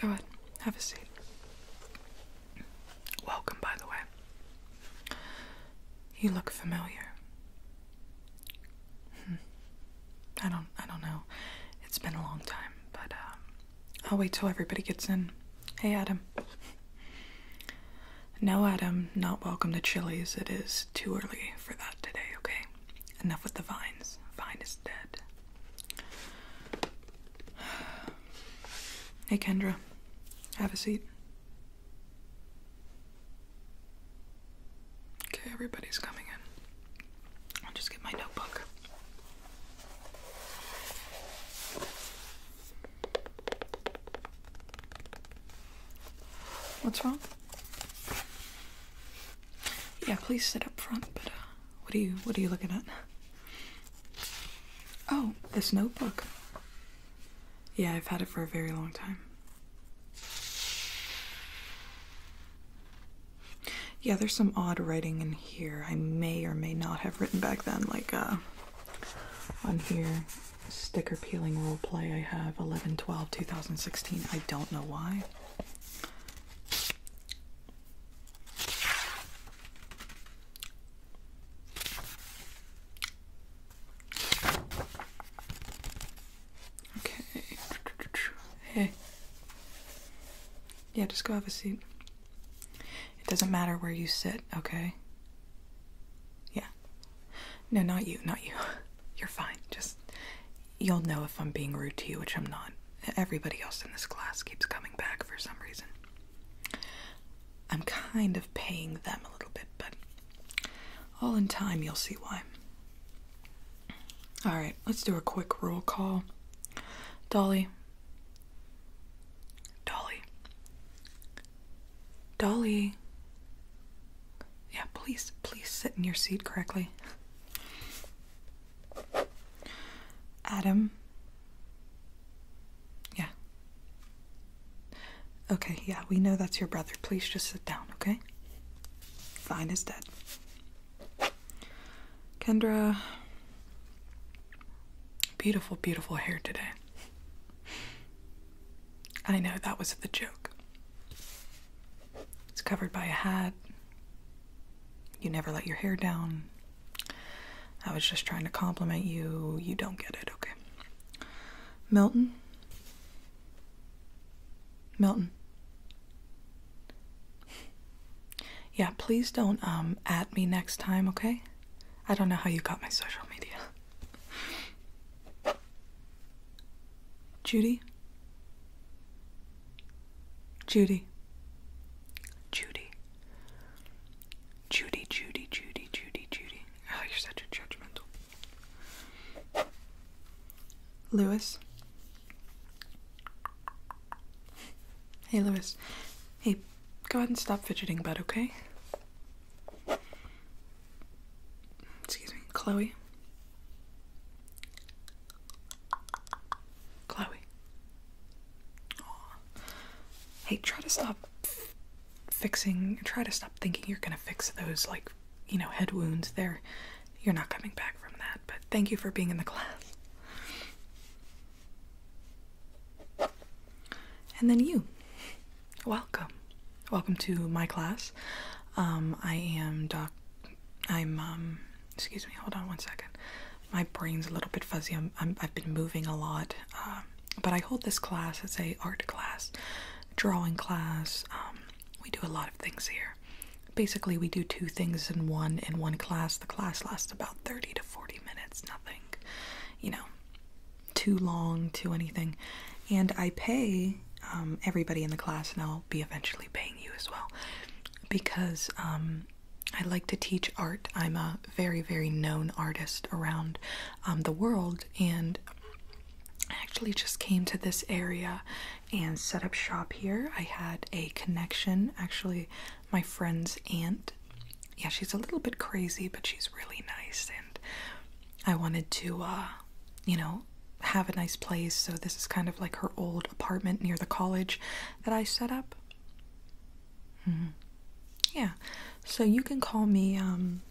Go ahead, have a seat. Welcome, by the way. You look familiar. Hmm. I don't I don't know. It's been a long time, but um, I'll wait till everybody gets in. Hey, Adam. No, Adam, not welcome to Chili's. It is too early for that today, okay? Enough with the vines. Vine is dead. Hey, Kendra. Have a seat. Okay, everybody's coming in. I'll just get my notebook. What's wrong? Yeah, please sit up front, but uh, what are you what are you looking at? Oh, this notebook. Yeah, I've had it for a very long time. Yeah, there's some odd writing in here. I may or may not have written back then, like uh, on here, sticker peeling role play. I have 11 12 2016. I don't know why. Okay. Yeah, just go have a seat. It doesn't matter where you sit, okay? Yeah. No, not you, not you. You're fine. Just, you'll know if I'm being rude to you, which I'm not. Everybody else in this class keeps coming back for some reason. I'm kind of paying them a little bit, but all in time you'll see why. Alright, let's do a quick roll call. Dolly, Dolly. Dolly. Yeah, please, please sit in your seat correctly. Adam. Yeah. Okay, yeah, we know that's your brother. Please just sit down, okay? Fine is dead. Kendra, beautiful, beautiful hair today. I know that was the joke. It's covered by a hat. You never let your hair down. I was just trying to compliment you. You don't get it, okay? Milton? Milton yeah, please don't um at me next time, okay? I don't know how you got my social media. Judy? Judy. Judy. Judy, Judy, Judy, Judy, Judy. Oh, you're such a judgmental. Lewis. Hey, Lewis. Hey, go ahead and stop fidgeting, bud, okay? Excuse me, Chloe. Chloe. Hey, try to stop fixing, try to stop thinking you're gonna fix those, like, you know, head wounds. There, you're not coming back from that, but thank you for being in the class. And then you. Welcome. Welcome to my class. Um, I am doc. I'm, um, excuse me, hold on one second. My brain's a little bit fuzzy. i have been moving a lot. Um, but I hold this class. It's a art class, drawing class. we do a lot of things here. Basically, we do two things in one in one class. The class lasts about 30 to 40 minutes, nothing, you know, too long, too anything. And I pay um, everybody in the class, and I'll be eventually paying you as well, because um, I like to teach art. I'm a very, very known artist around um, the world, and I actually just came to this area and set up shop here. I had a connection, actually, my friend's aunt. Yeah, she's a little bit crazy, but she's really nice, and I wanted to, uh, you know, have a nice place. So this is kind of like her old apartment near the college that I set up. Mm-hmm. Yeah, so you can call me. Um,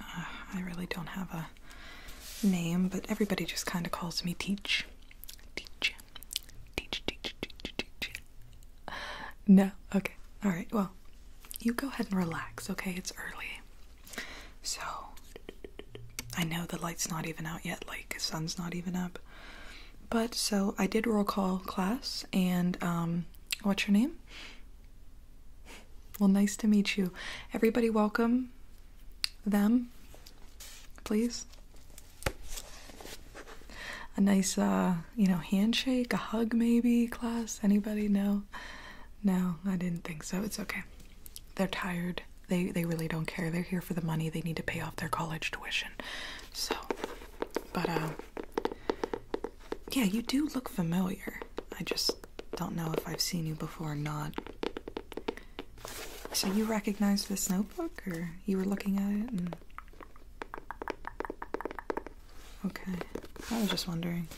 uh, I really don't have a name, but everybody just kind of calls me Teach. No, okay. Alright, well, you go ahead and relax, okay? It's early. So, I know the light's not even out yet, like, sun's not even up. But, so, I did roll call class, and, um, what's your name? Well, nice to meet you. Everybody, welcome them, please. A nice, uh, you know, handshake, a hug, maybe, class. Anybody? No, no, I didn't think so. It's okay. They're tired. They they really don't care. They're here for the money. They need to pay off their college tuition. So, but uh, yeah, you do look familiar. I just don't know if I've seen you before or not. So you recognized this notebook, or you were looking at it Okay, I was just wondering.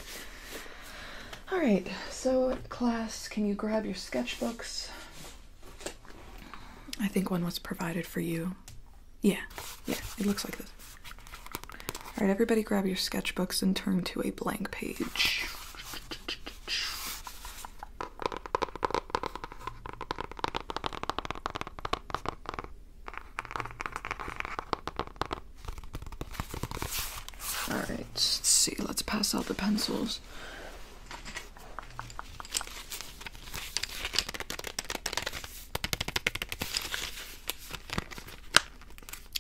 Alright, so class, can you grab your sketchbooks? I think one was provided for you. Yeah, yeah, it looks like this. Alright, everybody grab your sketchbooks and turn to a blank page. All right, let's see. Let's pass out the pencils.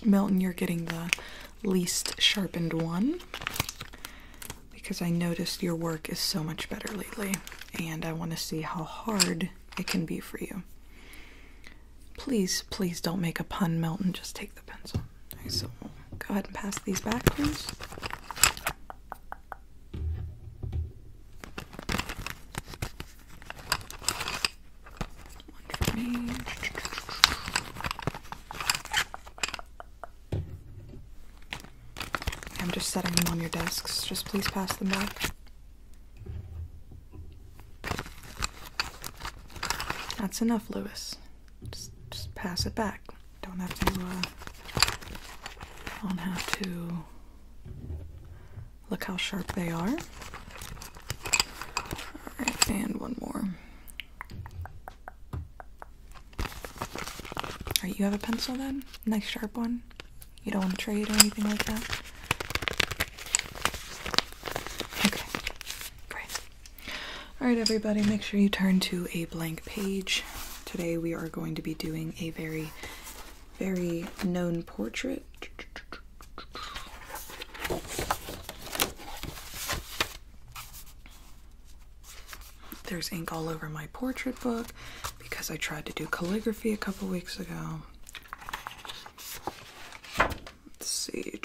Melton, you're getting the least sharpened one because I noticed your work is so much better lately, and I want to see how hard it can be for you. Please, please don't make a pun, Melton. Just take the pencil. so go ahead and pass these back, please. I'm just setting them on your desks. Just please pass them back. That's enough, Lewis. Just, just pass it back. Don't have to, uh, Don't have to. Look how sharp they are. Alright, and one more. Alright, you have a pencil then? Nice sharp one? You don't want to trade or anything like that? Okay, great. Alright, everybody, make sure you turn to a blank page. Today we are going to be doing a very, very known portrait. There's ink all over my portrait book because I tried to do calligraphy a couple weeks ago. Let's see.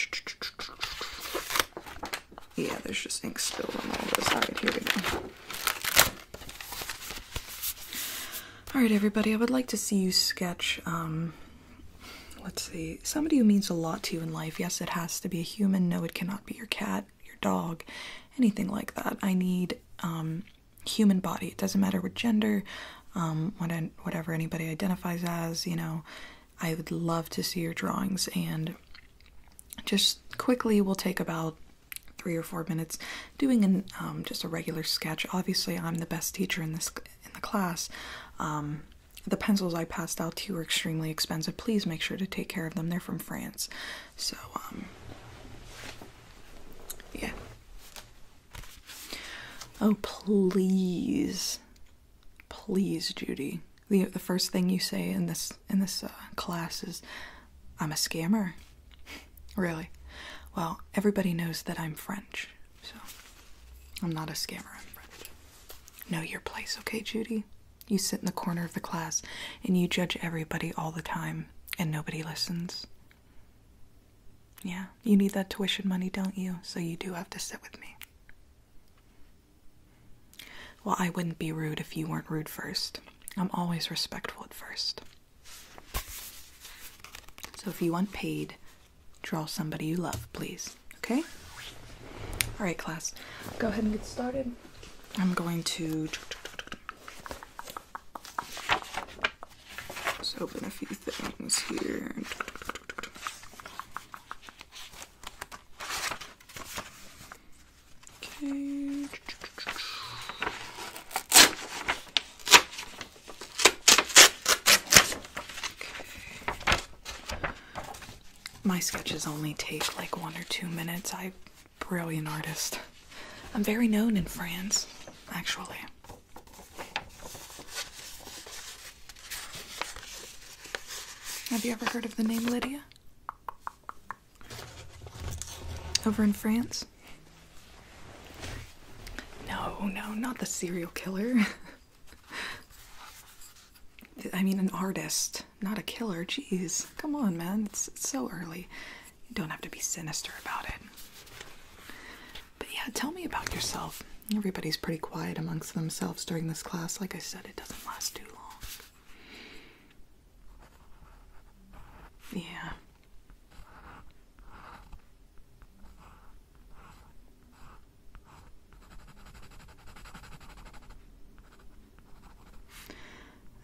Yeah, there's just ink spilled on all this. Alright, here we go. Alright, everybody, I would like to see you sketch, um, let's see, somebody who means a lot to you in life. Yes, it has to be a human. No, it cannot be your cat your dog, anything like that. I need um, human body. It doesn't matter what gender, um, whatever anybody identifies as. You know, I would love to see your drawings and just quickly. will take about three or four minutes doing an um, just a regular sketch. Obviously, I'm the best teacher in this in the class. Um, the pencils I passed out to you are extremely expensive please make sure to take care of them. They're from France. So, um, yeah. Oh, please. Please, Judy. The, first thing you say in this in this uh, class is, I'm a scammer. really? Well, everybody knows that I'm French, so I'm not a scammer. I'm French. Know your place, okay, Judy? You sit in the corner of the class and you judge everybody all the time, and nobody listens. Yeah, you need that tuition money, don't you? So you do have to sit with me. Well, I wouldn't be rude if you weren't rude first. I'm always respectful at first. So if you want paid, draw somebody you love, please. Okay? Alright, class. Go ahead and get started. I'm going to open a few things here. Okay. Okay. My sketches only take like one or two minutes. i brilliant artist. I'm very known in France, actually. Have you ever heard of the name Lydia? Over in France? No, no, not the serial killer. I mean, an artist not a killer. Jeez, come on, man. It's, so early. You don't have to be sinister about it. But yeah, tell me about yourself. Everybody's pretty quiet amongst themselves during this class. Like I said, it doesn't last too long. Yeah.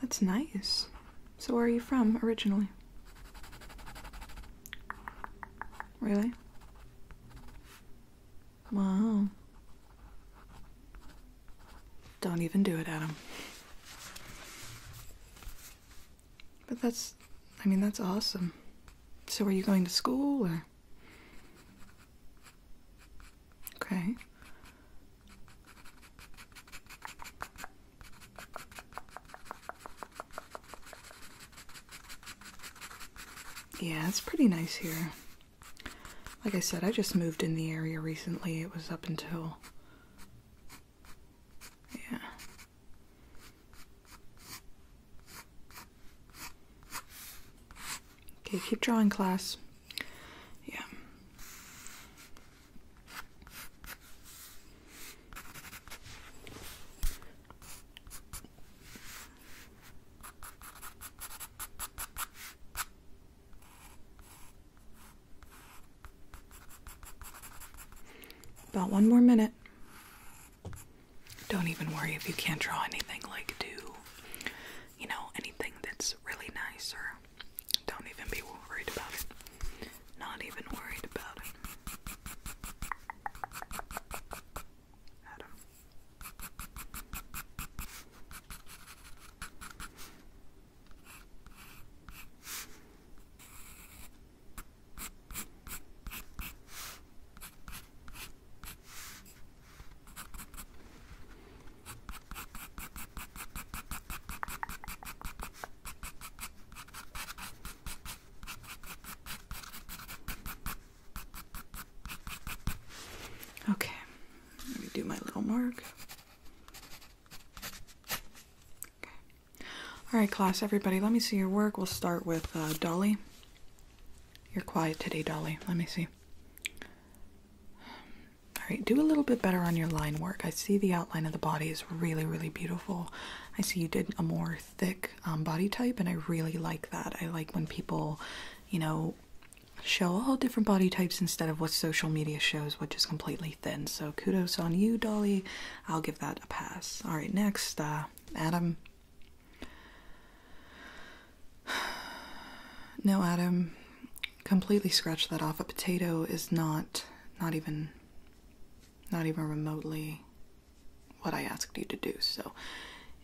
That's nice. So, where are you from originally? Really? Wow. Don't even do it, Adam. But that's, I mean, that's awesome. So, are you going to school or? Okay. Yeah, it's pretty nice here. Like I said, I just moved in the area recently. It was up until. Yeah. Okay, keep drawing, class. Yeah. About one more minute. Don't even worry if you can't draw anything like do you know anything that's really nice, sir. Don't even be worried about it. Not even worried about it. Okay, let me do my little mark. Okay. All right, class, everybody, let me see your work. We'll start with uh, Dolly. You're quiet today, Dolly. Let me see. All right, do a little bit better on your line work. I see the outline of the body is really, really beautiful. I see you did a more thick um, body type, and I really like that. I like when people, you know, show all different body types instead of what social media shows, which is completely thin. So kudos on you, Dolly. I'll give that a pass. All right, next, uh, Adam. No, Adam, completely scratch that off. A potato is not, not even, not even remotely what I asked you to do. So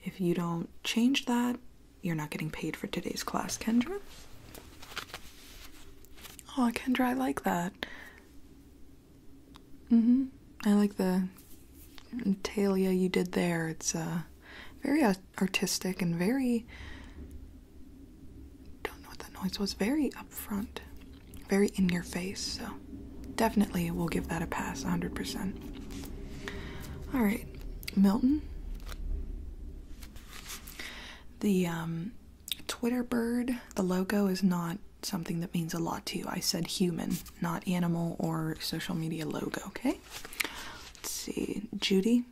if you don't change that, you're not getting paid for today's class, Kendra. Oh, Kendra, I like that. Mm-hmm. I like the tail, you did there. It's, uh, very artistic and very don't know what that noise was very upfront very in your face so definitely we'll give that a pass 100% all right milton the um, twitter bird the logo is not something that means a lot to you i said human not animal or social media logo okay let's see judy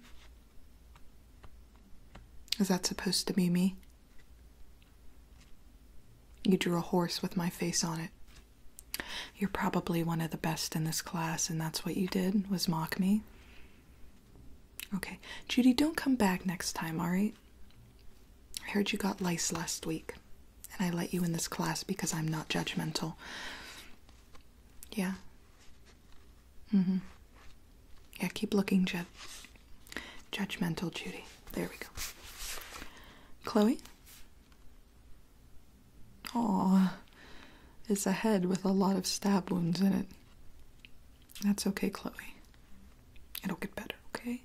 is that supposed to be me? You drew a horse with my face on it. You're probably one of the best in this class, and that's what you did, was mock me. Okay, Judy, don't come back next time, alright? I heard you got lice last week, and I let you in this class because I'm not judgmental. Yeah, Mm-hmm. Yeah, keep looking, Jud. judgmental Judy. There we go. Chloe? Aw, it's a head with a lot of stab wounds in it. That's okay, Chloe. It'll get better, okay?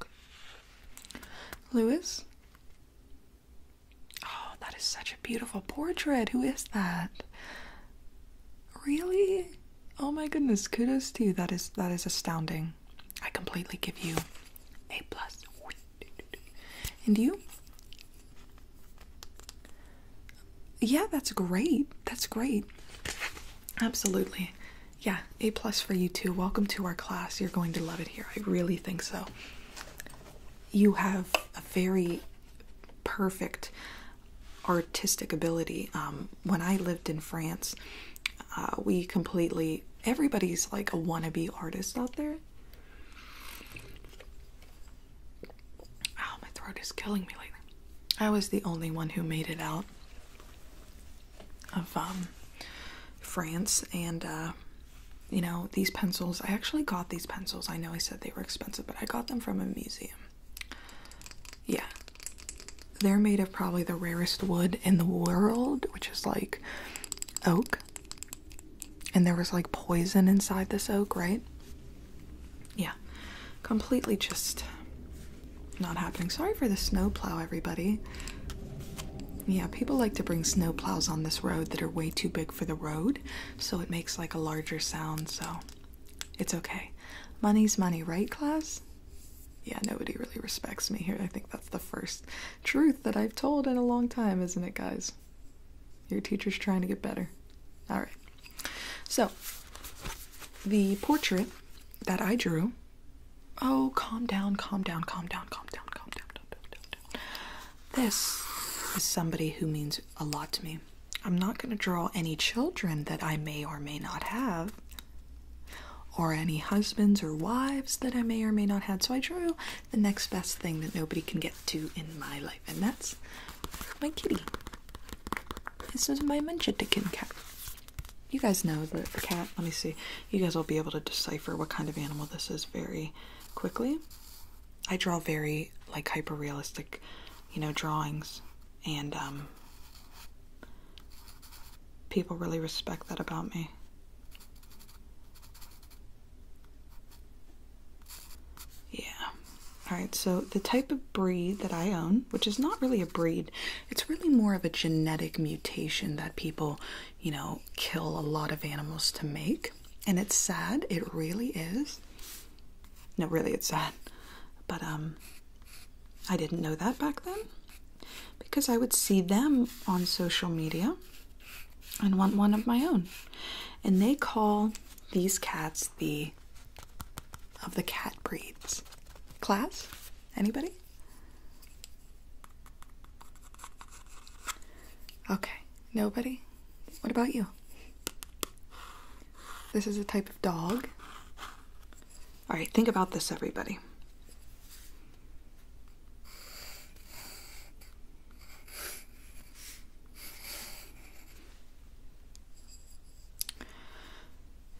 okay. Lewis? Oh, that is such a beautiful portrait. Who is that? Really? Oh my goodness, kudos to you. That is that is astounding. I completely give you a plus. And you? Yeah, that's great. That's great. Absolutely. Yeah, A plus for you too. Welcome to our class. You're going to love it here. I really think so. You have a very perfect artistic ability. Um, when I lived in France, uh, we completely everybody's like a wannabe artist out there. Oh, my throat is killing me lately. I was the only one who made it out of um, France, and uh, you know, these pencils. I actually got these pencils. I know I said they were expensive, but I got them from a museum. Yeah. They're made of probably the rarest wood in the world, which is like oak. And there was like poison inside this oak, right? Yeah. Completely just not happening. Sorry for the snowplow, everybody. Yeah, people like to bring snowplows on this road that are way too big for the road so it makes like a larger sound, so it's okay. Money's money, right, class? Yeah, nobody really respects me here. I think that's the first truth that I've told in a long time, isn't it, guys? Your teacher's trying to get better. Alright. So, the portrait that I drew. Oh, calm down, calm down, calm down, calm down, calm down, calm down, calm down. This is somebody who means a lot to me. I'm not going to draw any children that I may or may not have, or any husbands or wives that I may or may not have. So I drew the next best thing that nobody can get to in my life, and that's my kitty. This is my Manchetican cat. You guys know the cat. Let me see. You guys will be able to decipher what kind of animal this is very quickly. I draw very like hyper realistic, you know, drawings, and um, people really respect that about me. Yeah. Alright, so the type of breed that I own, which is not really a breed, it's really more of a genetic mutation that people, you know, kill a lot of animals to make and it's sad. It really is. No, really, it's sad. But um, I didn't know that back then because I would see them on social media and want one of my own. And they call these cats the of the cat breeds. Class? Anybody? Okay, nobody? What about you? This is a type of dog. All right, think about this, everybody.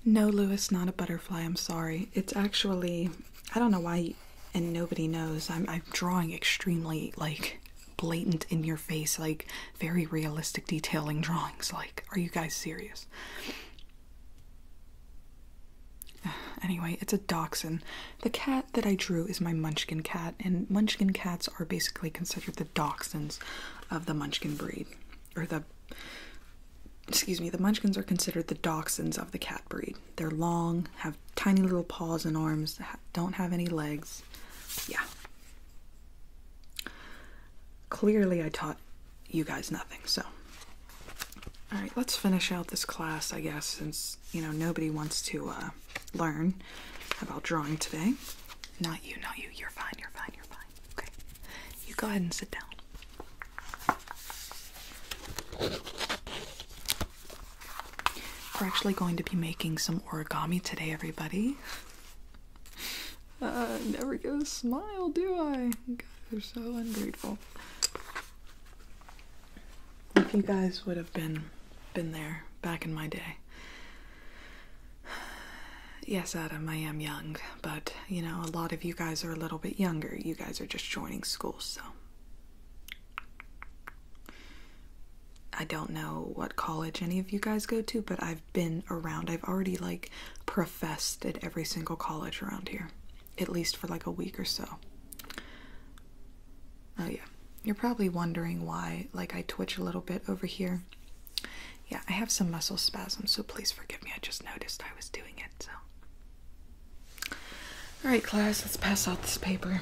No, Lewis, not a butterfly. I'm sorry. It's actually, I don't know why, and nobody knows. I'm, I'm drawing extremely, like, blatant in your face like very realistic detailing drawings like are you guys serious anyway it's a dachshund the cat that i drew is my munchkin cat and munchkin cats are basically considered the dachshunds of the munchkin breed or the excuse me the munchkins are considered the dachshunds of the cat breed they're long have tiny little paws and arms don't have any legs. Yeah. Clearly, I taught you guys nothing, so. Alright, let's finish out this class, I guess, since, you know, nobody wants to uh, learn about drawing today. Not you, not you. You're fine, you're fine, you're fine. Okay. You go ahead and sit down. We're actually going to be making some origami today, everybody. Uh, never get a smile, do I? God, they're so ungrateful. If you guys would have been been there back in my day. Yes, Adam, I am young, but you know, a lot of you guys are a little bit younger. You guys are just joining school, so I don't know what college any of you guys go to, but I've been around. I've already like professed at every single college around here, at least for like a week or so. Oh, yeah. You're probably wondering why, like, I twitch a little bit over here. Yeah, I have some muscle spasms, so please forgive me. I just noticed I was doing it, so. Alright, class, let's pass out this paper.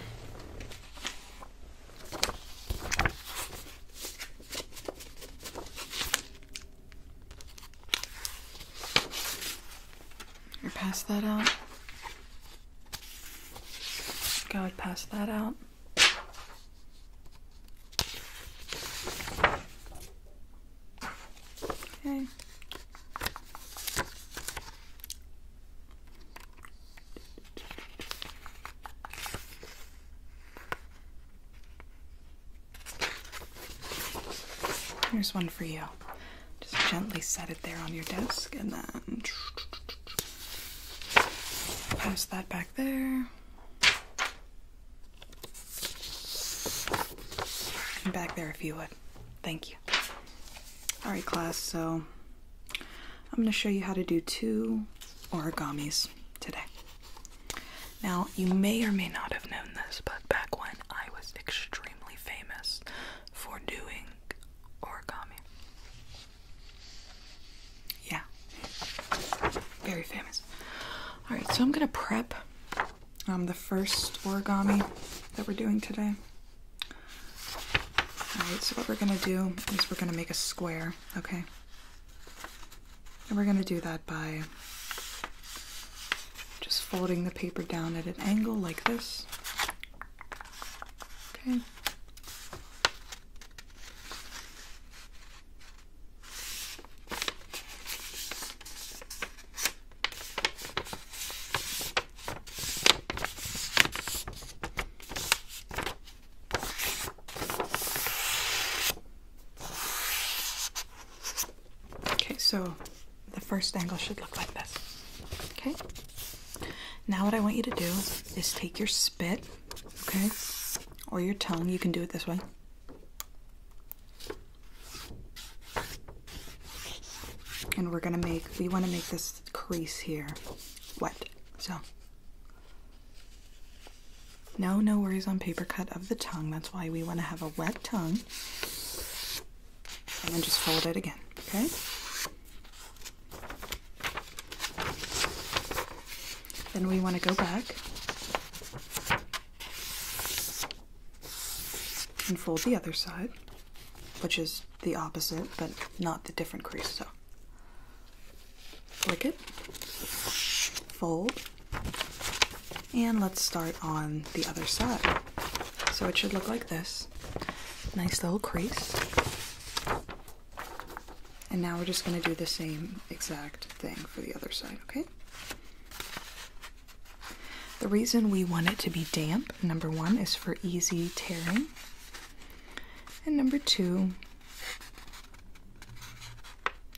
Or pass that out. I would pass that out. Okay. Here's one for you. Just gently set it there on your desk and then pass that back there. And back there if you would. Thank you. Alright, class, so I'm going to show you how to do two origamis today. Now, you may or may not have known this, but back when I was extremely famous for doing origami. Yeah. Very famous. All right, so I'm going to prep um, the first origami that we're doing today. Alright, so what we're going to do is we're going to make a square, okay? And we're going to do that by just folding the paper down at an angle like this. Okay. Okay, so the first angle should look like this. Okay? Now, what I want you to do is take your spit, okay, or your tongue, you can do it this way. And we're gonna make, we wanna make this crease here wet. So, no, no worries on paper cut of the tongue. That's why we want to have a wet tongue. And then just fold it again, okay? Then we want to go back and fold the other side, which is the opposite, but not the different crease. So flick it, fold, and let's start on the other side. So it should look like this. Nice little crease. And now we're just going to do the same exact thing for the other side, okay? The reason we want it to be damp, number one, is for easy tearing. And number two,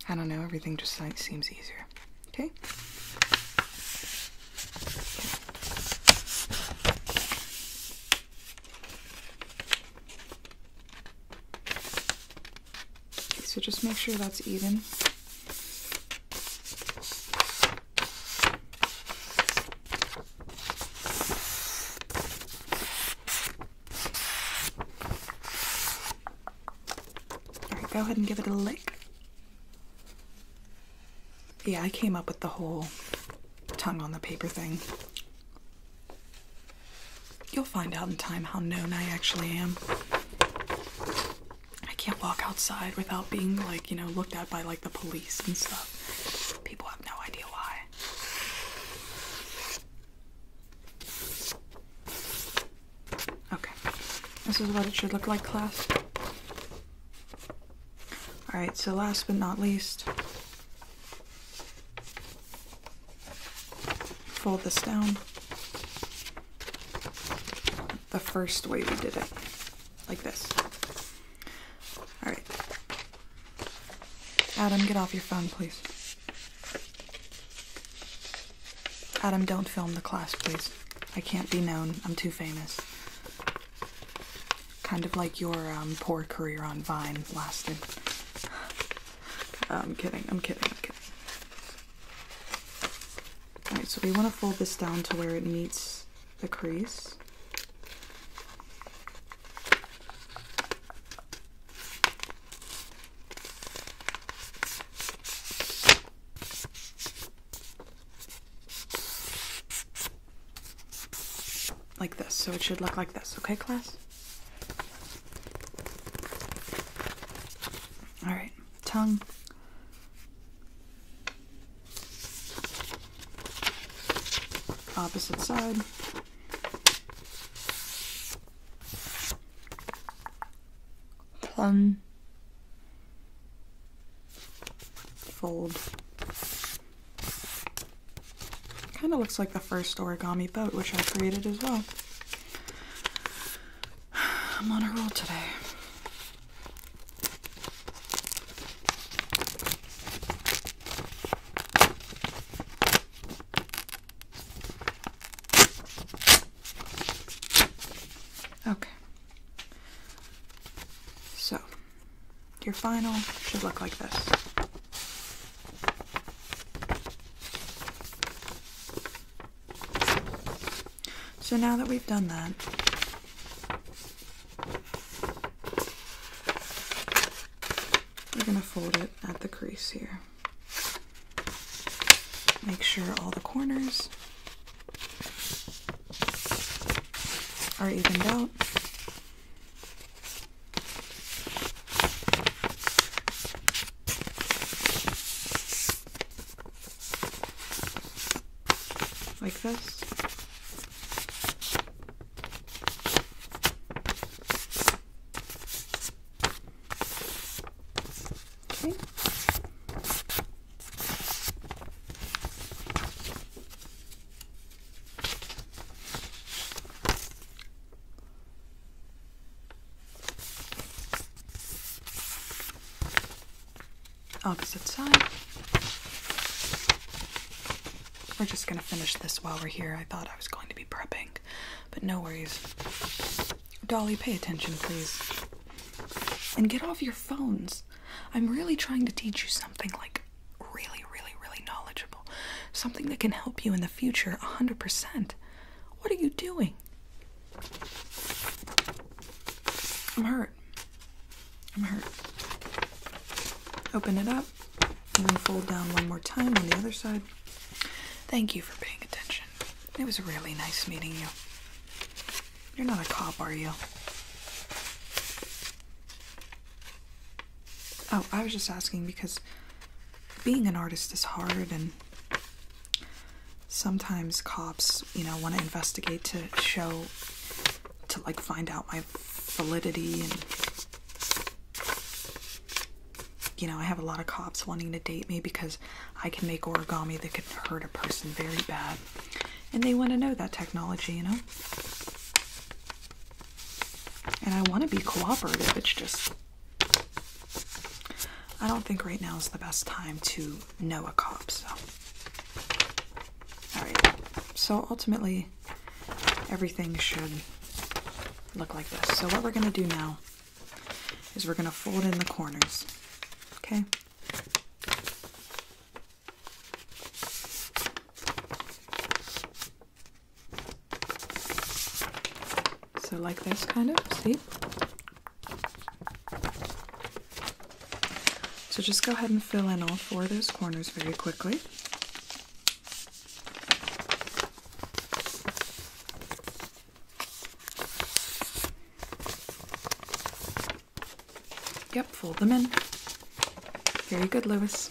I don't know, everything just like seems easier. Okay? okay. So just make sure that's even. Alright, go ahead and give it a lick. Yeah, I came up with the whole tongue on the paper thing. You'll find out in time how known I actually am. I can't walk outside without being, like, you know, looked at by, like, the police and stuff. People have no idea why. Okay. This is what it should look like, class. Alright, so last but not least, fold this down the first way we did it, like this. All right. Adam, get off your phone, please. Adam, don't film the class, please. I can't be known. I'm too famous. Kind of like your um, poor career on Vine lasted. I'm kidding, I'm kidding, I'm kidding. Alright, so we want to fold this down to where it meets the crease. Like this, so it should look like this, okay, class? All right, tongue. Opposite side. Plum. Fold. Kind of looks like the first origami boat, which I created as well. I'm on a roll today. Okay. So, your final should look like this. So now that we've done that, we're going to fold it at the crease here. Make sure all the corners are evened out. Like this. Opposite side. We're just gonna finish this while we're here. I thought I was going to be prepping, but no worries. Dolly, pay attention, please. And get off your phones. I'm really trying to teach you something like really, really, really knowledgeable. Something that can help you in the future 100%. What are you doing? I'm hurt. I'm hurt. Open it up and then fold down one more time on the other side. Thank you for paying attention. It was really nice meeting you. You're not a cop, are you? Oh, I was just asking because being an artist is hard and sometimes cops, you know, want to investigate to show to like find out my validity and you know, I have a lot of cops wanting to date me because I can make origami that can hurt a person very bad. And they want to know that technology, you know? And I want to be cooperative. It's just. I don't think right now is the best time to know a cop, so. Alright. So ultimately, everything should look like this. So what we're going to do now is we're going to fold in the corners. Okay? So like this kind of, see? So just go ahead and fill in all four of those corners very quickly. Yep, fold them in. Very good, Louis.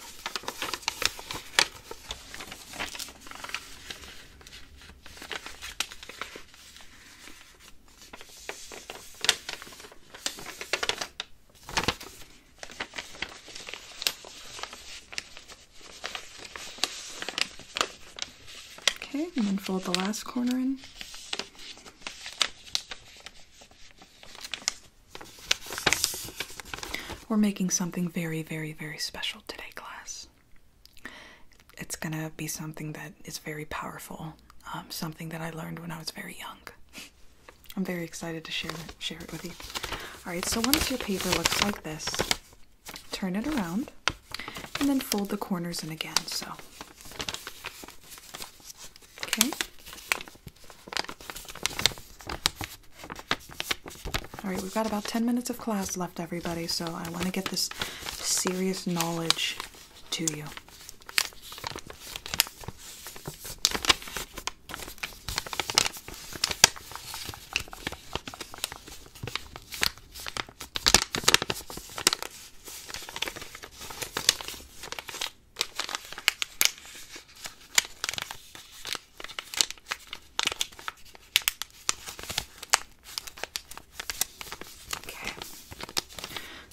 Okay, and then fold the last corner in. We're making something very, very, very special today, class. It's gonna be something that is very powerful, um, something that I learned when I was very young. I'm very excited to share it, share it with you. All right, so once your paper looks like this, turn it around and then fold the corners in again. So, okay. All right, we've got about 10 minutes of class left, everybody, so I want to get this serious knowledge to you. Okay.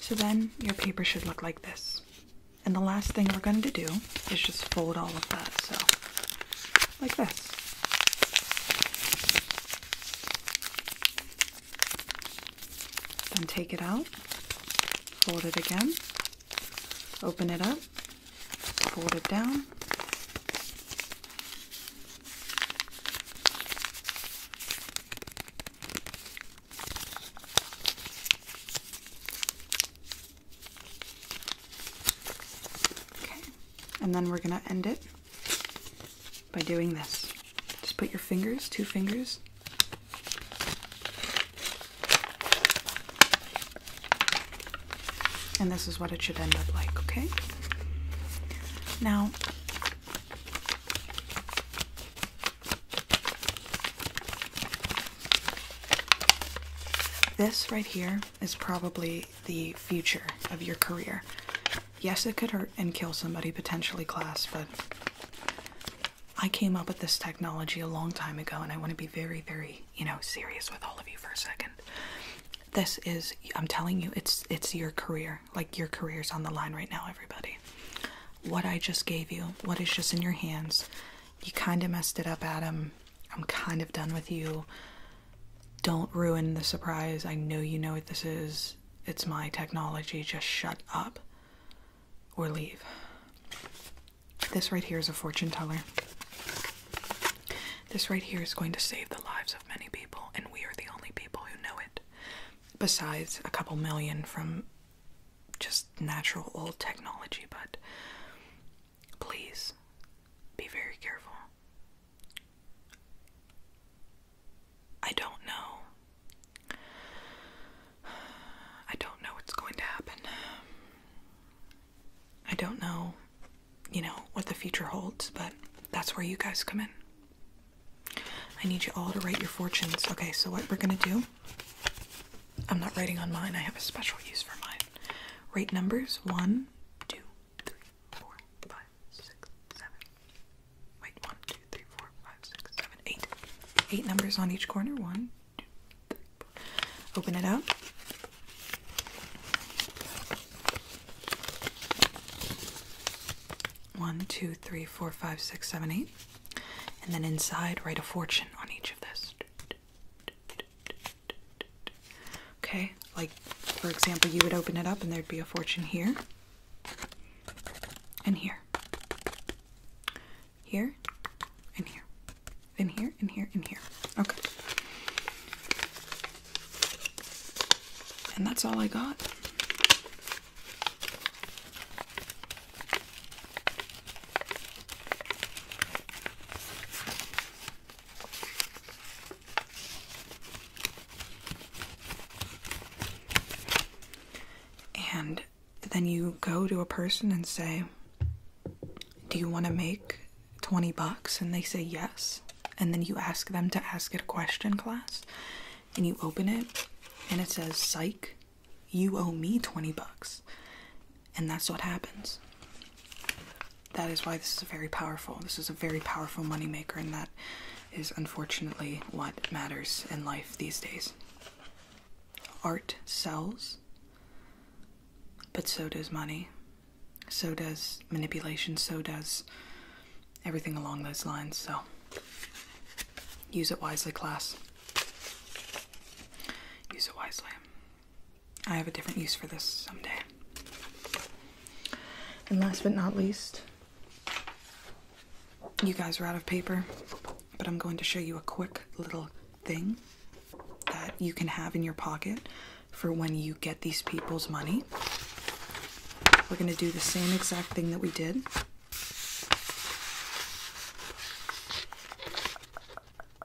So then your paper should look like this. And the last thing we're going to do is just fold all of that, so like this. Then take it out, fold it again, open it up, fold it down. Okay, and then we're gonna end it by doing this. Just put your fingers, two fingers, and this is what it should end up like, okay? Now, this right here is probably the future of your career. Yes, it could hurt and kill somebody potentially, class, but I came up with this technology a long time ago, and I want to be very, very, you know, serious with all of you for a second. This is, I'm telling you, it's it's your career. Like your career's on the line right now, everybody. What I just gave you, what is just in your hands, you kind of messed it up, Adam. I'm kind of done with you. Don't ruin the surprise. I know you know what this is. It's my technology. Just shut up or leave. This right here is a fortune teller. This right here is going to save the lives of many people, and we are the only people who know it. Besides a couple million from just natural old technology, but Please be very careful. I don't know. I don't know what's going to happen. I don't know, you know, what the future holds, but that's where you guys come in. I need you all to write your fortunes. Okay, so what we're gonna do I'm not writing on mine, I have a special use for mine. Rate numbers one, two, three, four, five, six, seven. Wait, one, two, three, four, five, six, seven, eight. Eight numbers on each corner. One, two, three, four. Open it up. One, two, three, four, five, six, seven, eight. And then inside, write a fortune on each of this. Okay, like for example, you would open it up and there'd be a fortune here and here, here and here, and here and here and here. Okay. And that's all I got. And then you go to a person and say, Do you want to make 20 bucks? And they say yes. And then you ask them to ask it a question class. And you open it and it says, Psych, you owe me 20 bucks and that's what happens. That is why this is a very powerful. This is a very powerful moneymaker, and that is unfortunately what matters in life these days. Art sells, but so does money. So does manipulation, so does everything along those lines. So use it wisely, class. Use it wisely. I have a different use for this someday. And last but not least, you guys are out of paper, but I'm going to show you a quick little thing that you can have in your pocket for when you get these people's money. We're going to do the same exact thing that we did.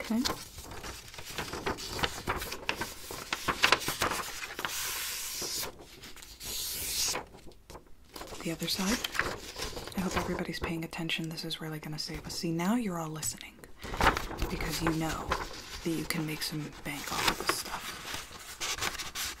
Okay. The other side. I hope everybody's paying attention. This is really going to save us. See, now you're all listening because you know that you can make some bank off of this stuff.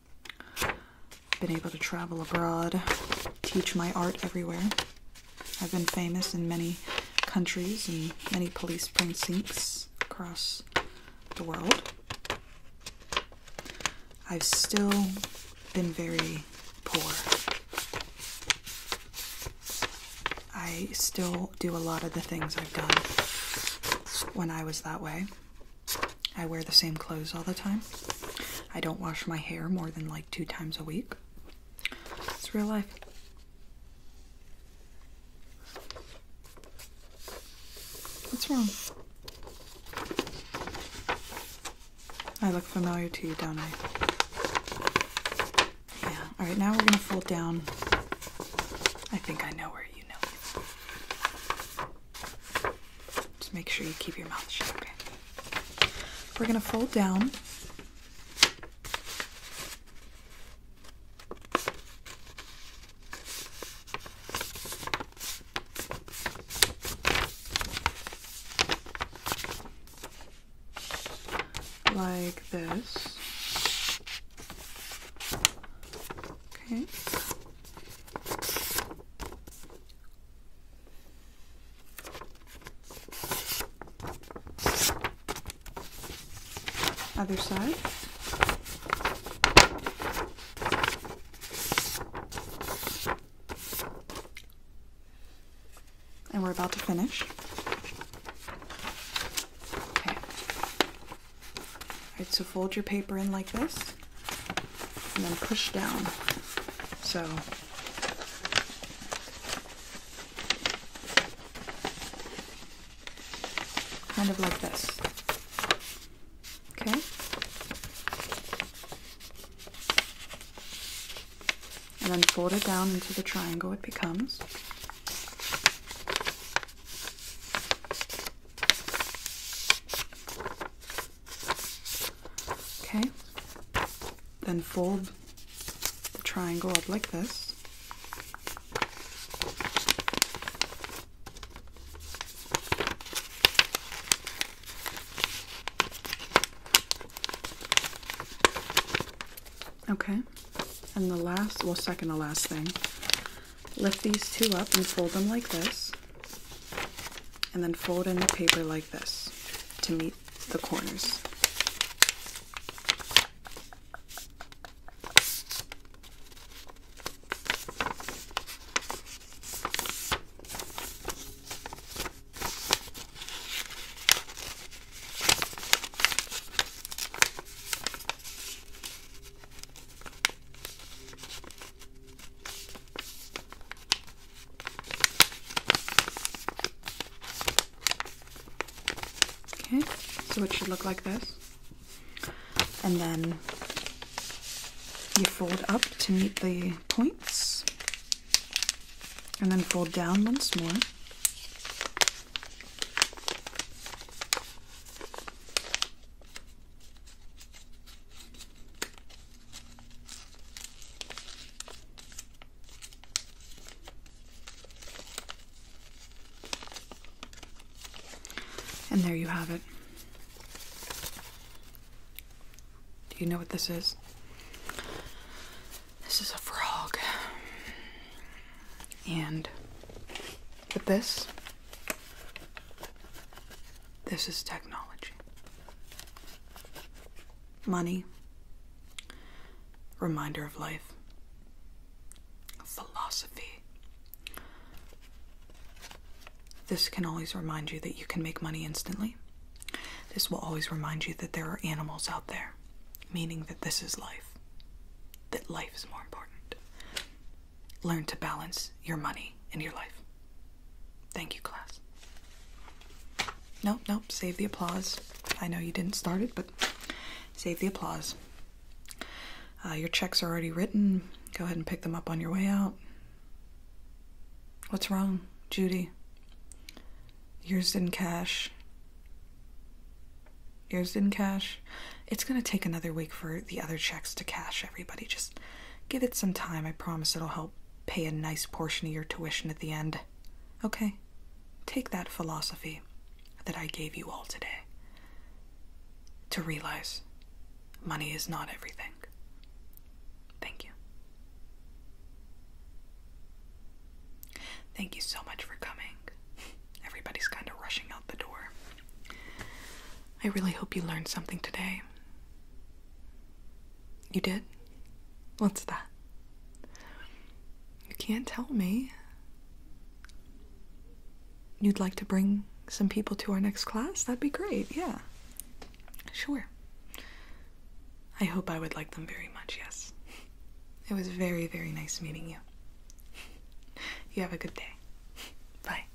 Been able to travel abroad, teach my art everywhere. I've been famous in many countries and many police precincts across the world. I've still been very poor. I still do a lot of the things I've done when I was that way. I wear the same clothes all the time. I don't wash my hair more than like two times a week. It's real life. What's wrong? I look familiar to you, don't I? Yeah. Alright, now we're going to fold down. I think I know where you know. Just make sure you keep your mouth shut, okay? We're gonna fold down. Like this. Okay. Other side. And we're about to finish. Okay. All right, so fold your paper in like this and then push down. So kind of like this. Okay. And then fold it down into the triangle it becomes. Okay, then fold the triangle up like this. Okay, and the last, well, second the last thing, lift these two up and fold them like this and then fold in the paper like this to meet the corners. Okay, so it should look like this. And then you fold up to meet the points. And then fold down once more. And there you have it. Do you know what this is? This is a frog. And with this, this is technology. Money, reminder of life. Philosophy. This can always remind you that you can make money instantly. This will always remind you that there are animals out there, meaning that this is life, that life is more important learn to balance your money and your life. Thank you, class. Nope, nope, save the applause. I know you didn't start it, but save the applause. Uh, your checks are already written. Go ahead and pick them up on your way out. What's wrong, Judy? Yours didn't cash. Yours didn't cash. It's going to take another week for the other checks to cash, everybody. Just Give it some time. I promise it'll help pay a nice portion of your tuition at the end. Okay? Take that philosophy that I gave you all today to realize money is not everything. Thank you. Thank you so much for coming. Everybody's kind of rushing out the door. I really hope you learned something today. You did? What's that? You can't tell me. You'd like to bring some people to our next class? That'd be great, yeah. Sure. I hope I would like them very much, yes. It was very, very nice meeting you. You have a good day. Bye.